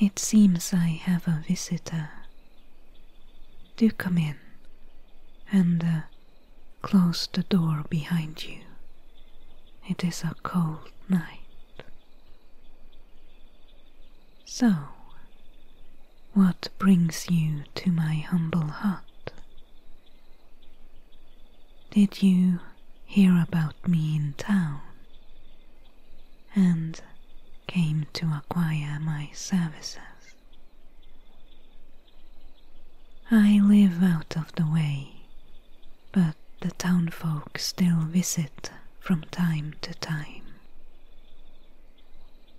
It seems I have a visitor. Do come in and uh, close the door behind you. It is a cold night. So, what brings you to my humble hut? Did you hear about me in town and came to acquire my services? I live out of the way but the townfolk still visit from time to time.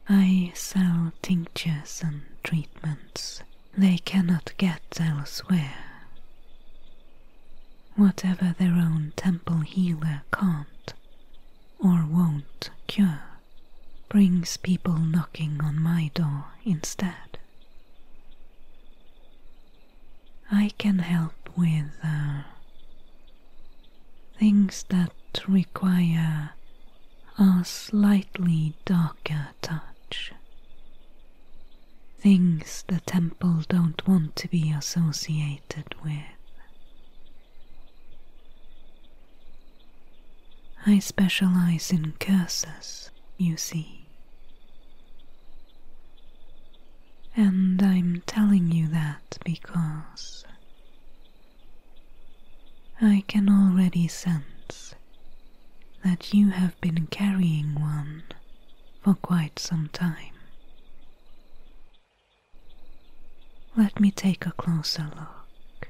I sell tinctures and treatments they cannot get elsewhere. Whatever their own temple healer can't or won't cure brings people knocking on my door instead. I can help with uh, things that require a slightly darker touch. Things the temple don't want to be associated with. I specialize in curses, you see. And I'm telling you that because I can already sense that you have been carrying one for quite some time. Let me take a closer look.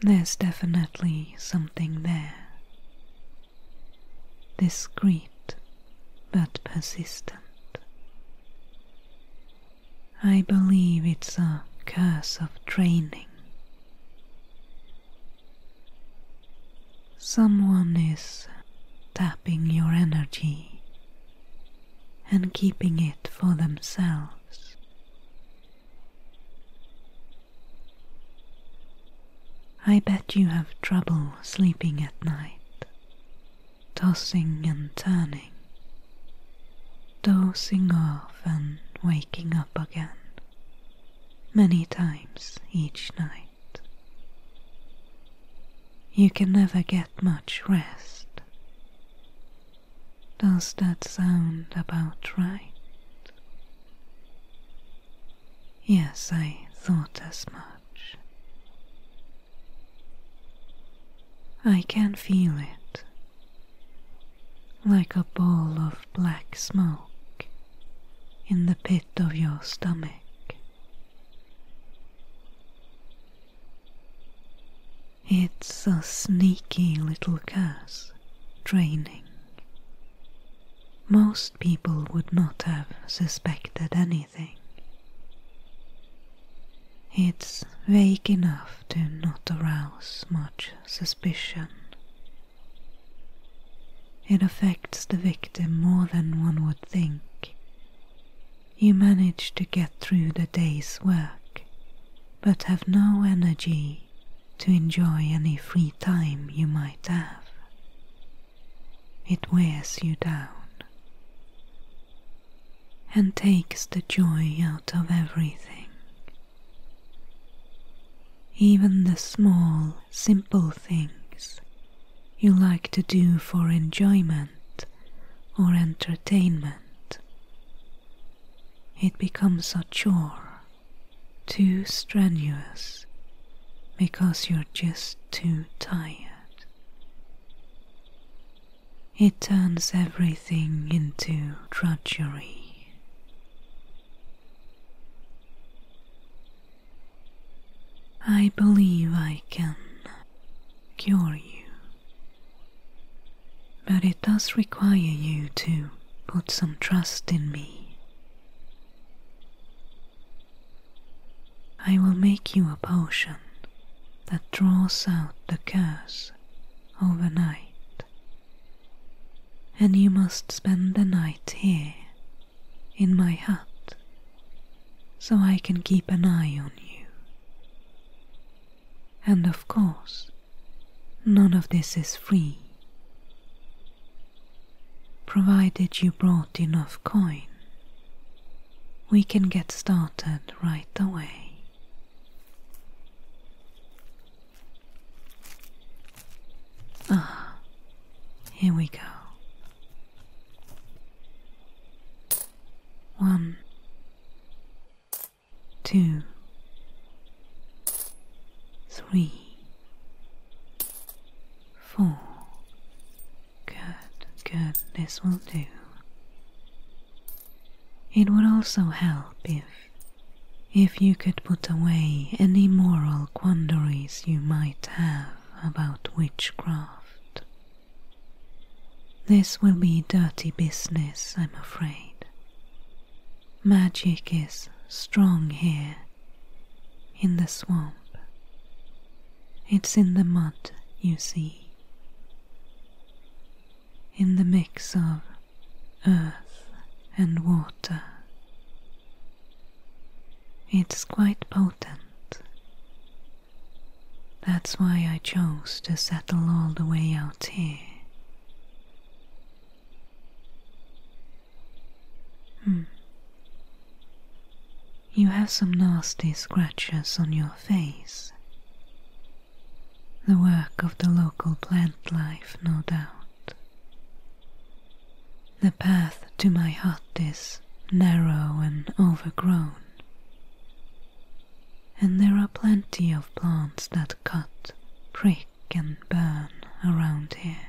There's definitely something there. Discreet but persistent. I believe it's a curse of training. Someone is tapping your energy and keeping it for themselves. I bet you have trouble sleeping at night, tossing and turning, dozing off and waking up again, many times each night. You can never get much rest. Does that sound about right? Yes, I thought as much. I can feel it, like a ball of black smoke in the pit of your stomach. It's a sneaky little curse, draining. Most people would not have suspected anything. It's vague enough to not arouse much suspicion. It affects the victim more than one would think, you manage to get through the day's work, but have no energy to enjoy any free time you might have. It wears you down and takes the joy out of everything. Even the small, simple things you like to do for enjoyment or entertainment. It becomes a chore, too strenuous, because you're just too tired. It turns everything into drudgery. I believe I can cure you. But it does require you to put some trust in me. I will make you a potion that draws out the curse overnight, and you must spend the night here in my hut so I can keep an eye on you. And of course, none of this is free. Provided you brought enough coin, we can get started right away. Ah, here we go. One, two, three, four. Good, good, this will do. It would also help if if you could put away any moral quandaries you might have about witchcraft this will be dirty business, I'm afraid. Magic is strong here, in the swamp. It's in the mud, you see, in the mix of earth and water. It's quite potent, that's why I chose to settle all the way out here. Hmm. You have some nasty scratches on your face. The work of the local plant life, no doubt. The path to my hut is narrow and overgrown. And there are plenty of plants that cut, prick, and burn around here.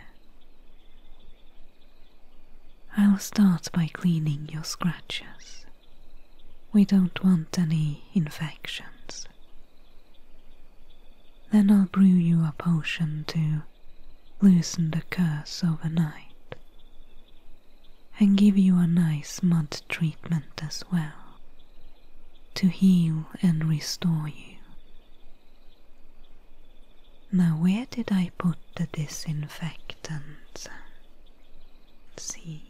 I'll start by cleaning your scratches. We don't want any infections. Then I'll brew you a potion to loosen the curse overnight and give you a nice mud treatment as well to heal and restore you. Now, where did I put the disinfectant? see,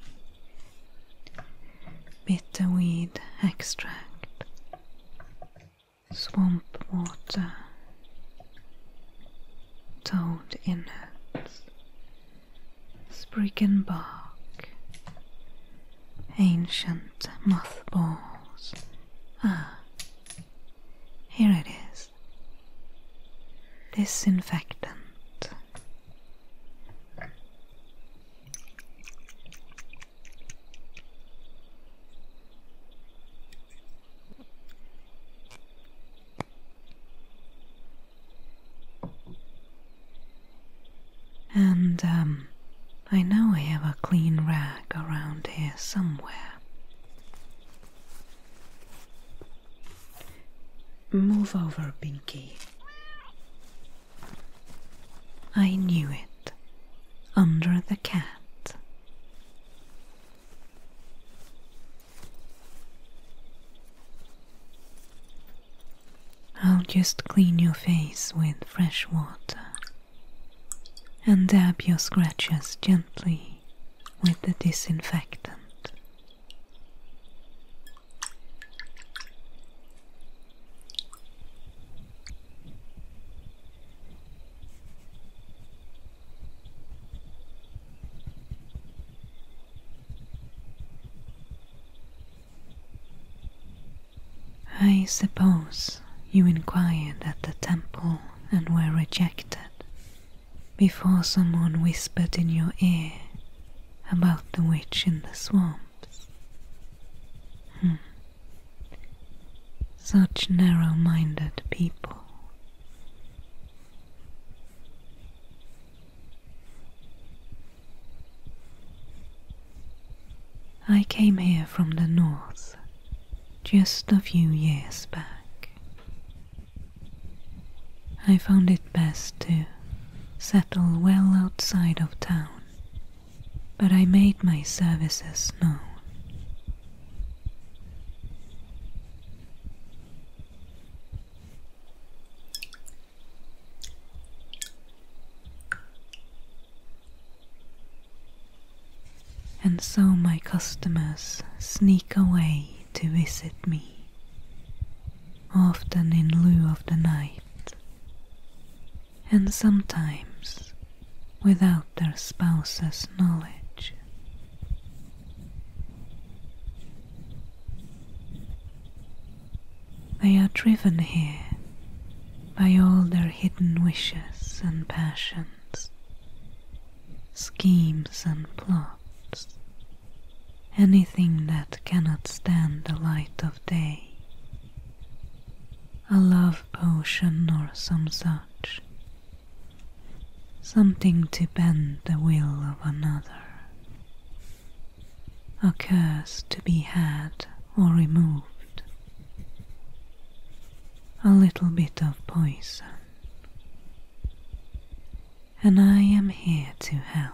bitterweed extract, swamp water, toned innards, sprig and bark, ancient mothballs. Ah, here it is. Disinfectant. And um, I know I have a clean rag around here somewhere. Move over, Pinky. I knew it. Under the cat. I'll just clean your face with fresh water and dab your scratches gently with the disinfectant. I suppose you inquired at the temple and were rejected before someone whispered in your ear about the witch in the swamps. Hmm. Such narrow minded people. I came here from the north just a few years back. I found it best to settle well outside of town, but I made my services known. And so my customers sneak away to visit me, often in lieu of the night, and sometimes without their spouse's knowledge. They are driven here by all their hidden wishes and passions, schemes and plots, anything that cannot stand the light of day. A love potion or some such something to bend the will of another, a curse to be had or removed, a little bit of poison, and I am here to help.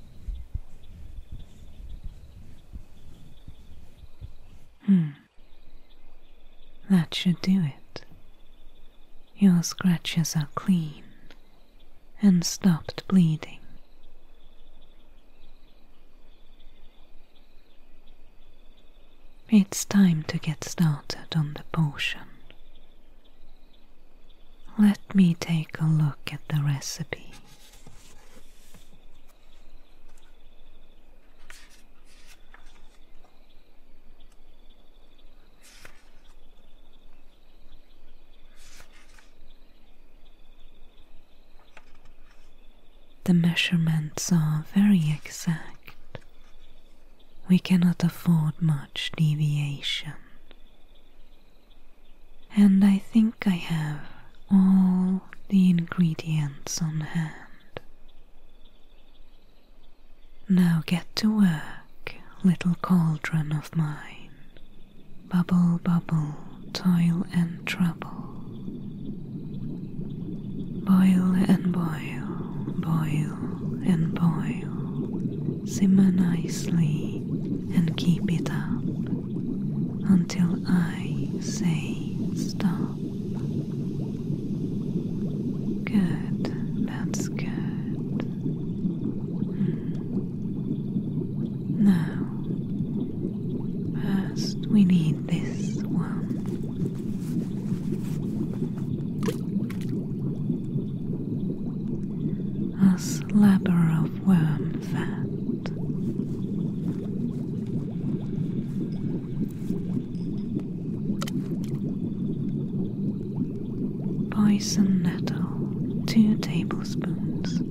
Hmm. That should do it. Your scratches are clean and stopped bleeding. It's time to get started on the potion. Let me take a look at the recipe. The measurements are very exact. We cannot afford much deviation. And I think I have all the ingredients on hand. Now get to work, little cauldron of mine. Bubble, bubble, toil and trouble. Boil and boil, boil and boil simmer nicely and keep it up until I say stop. Good, that's good. Hmm. Now, first we need this one a slabber of worm fat, bison nettle, two tablespoons.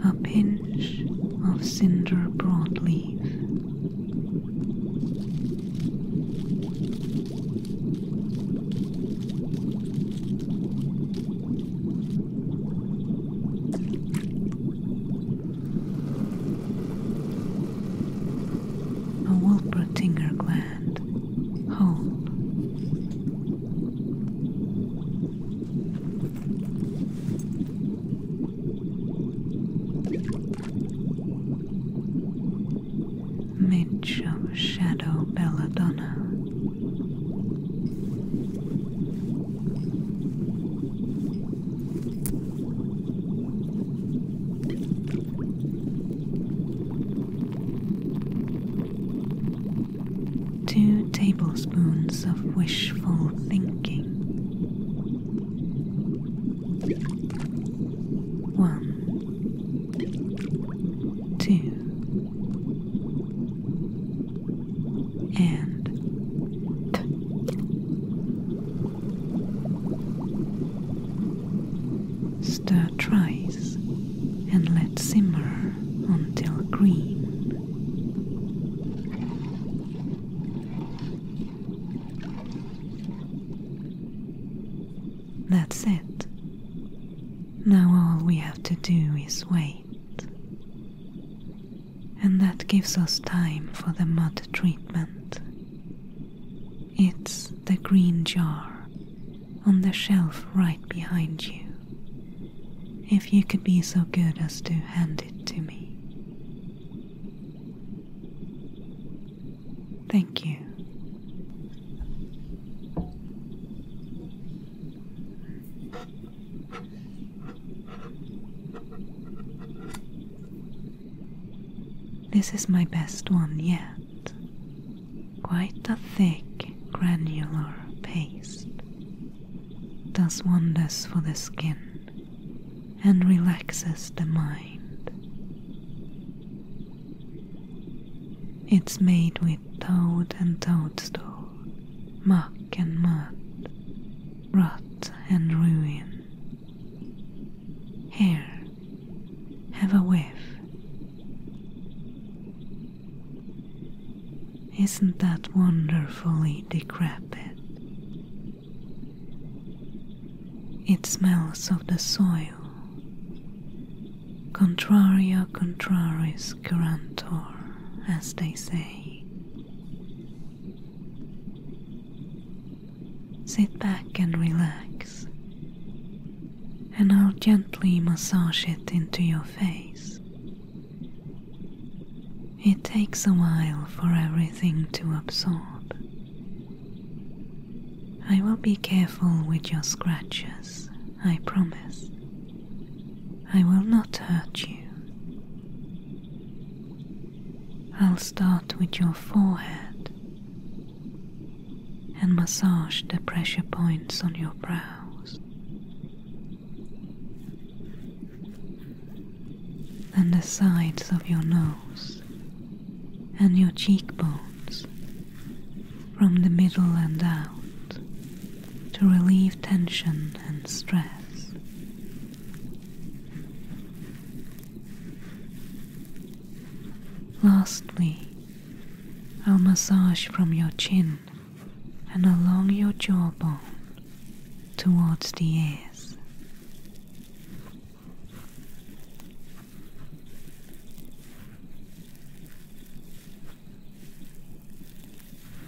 A pinch of cinder broadleaf a Wolpertinger gland whole. Midge of Shadow Belladonna. Two tablespoons of wishful thinking. One, two, and Stir thrice and let simmer until green. That's it. Now all we have to do is wait and that gives us time for the mud treatment. It's the green jar on the shelf right behind you. If you could be so good as to hand it to me. Thank you. This is my best one yet. Quite a thick, granular paste. Does wonders for the skin and relaxes the mind. It's made with toad and toadstool, muck and mud, rot and ruin, here, have a whiff. Isn't that wonderfully decrepit? It smells of the soil. Contraria contraris curantor, as they say. Sit back and relax, and I'll gently massage it into your face. It takes a while for everything to absorb. I will be careful with your scratches, I promise. I will not hurt you. I'll start with your forehead and massage the pressure points on your brows. Then the sides of your nose and your cheekbones from the middle and out to relieve tension and stress. Lastly, a massage from your chin and along your jawbone towards the ears.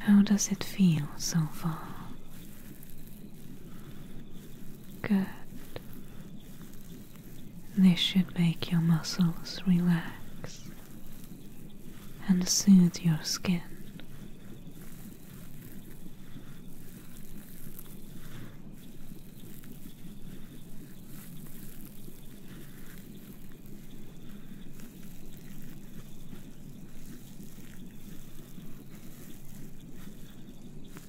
How does it feel so far? Good. This should make your muscles relax and soothe your skin.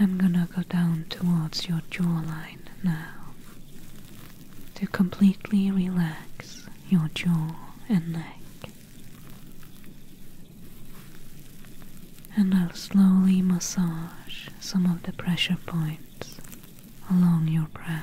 I'm gonna go down towards your jawline now to completely relax your jaw and neck and I'll slowly massage some of the pressure points along your brow.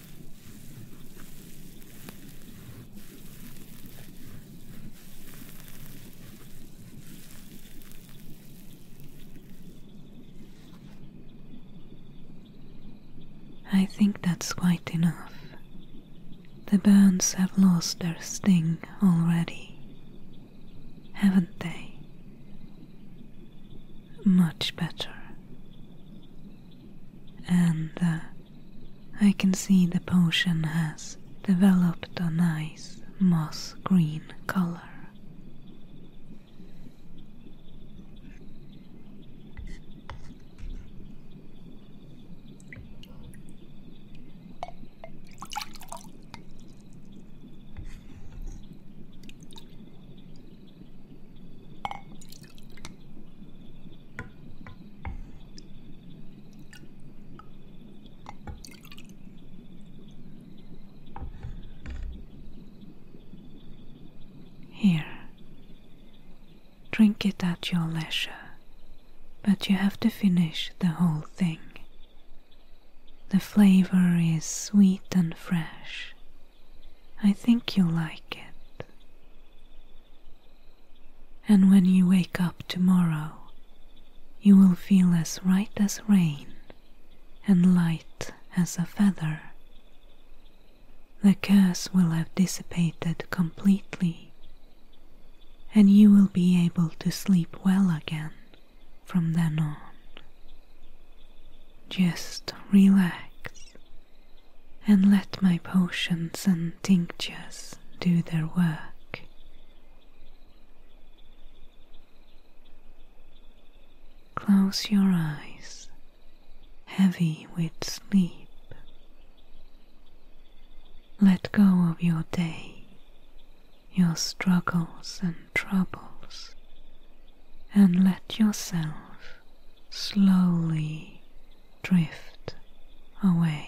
I think that's quite enough. The burns have lost their sting already, haven't they? Much better and uh, I can see the potion has developed a nice moss green color. Here, drink it at your leisure, but you have to finish the whole thing. The flavor is sweet and fresh. I think you'll like it. And when you wake up tomorrow, you will feel as right as rain and light as a feather. The curse will have dissipated completely, and you will be able to sleep well again from then on. Just relax and let my potions and tinctures do their work. Close your eyes, heavy with sleep. Let go of your day, your struggles and troubles, and let yourself slowly drift away.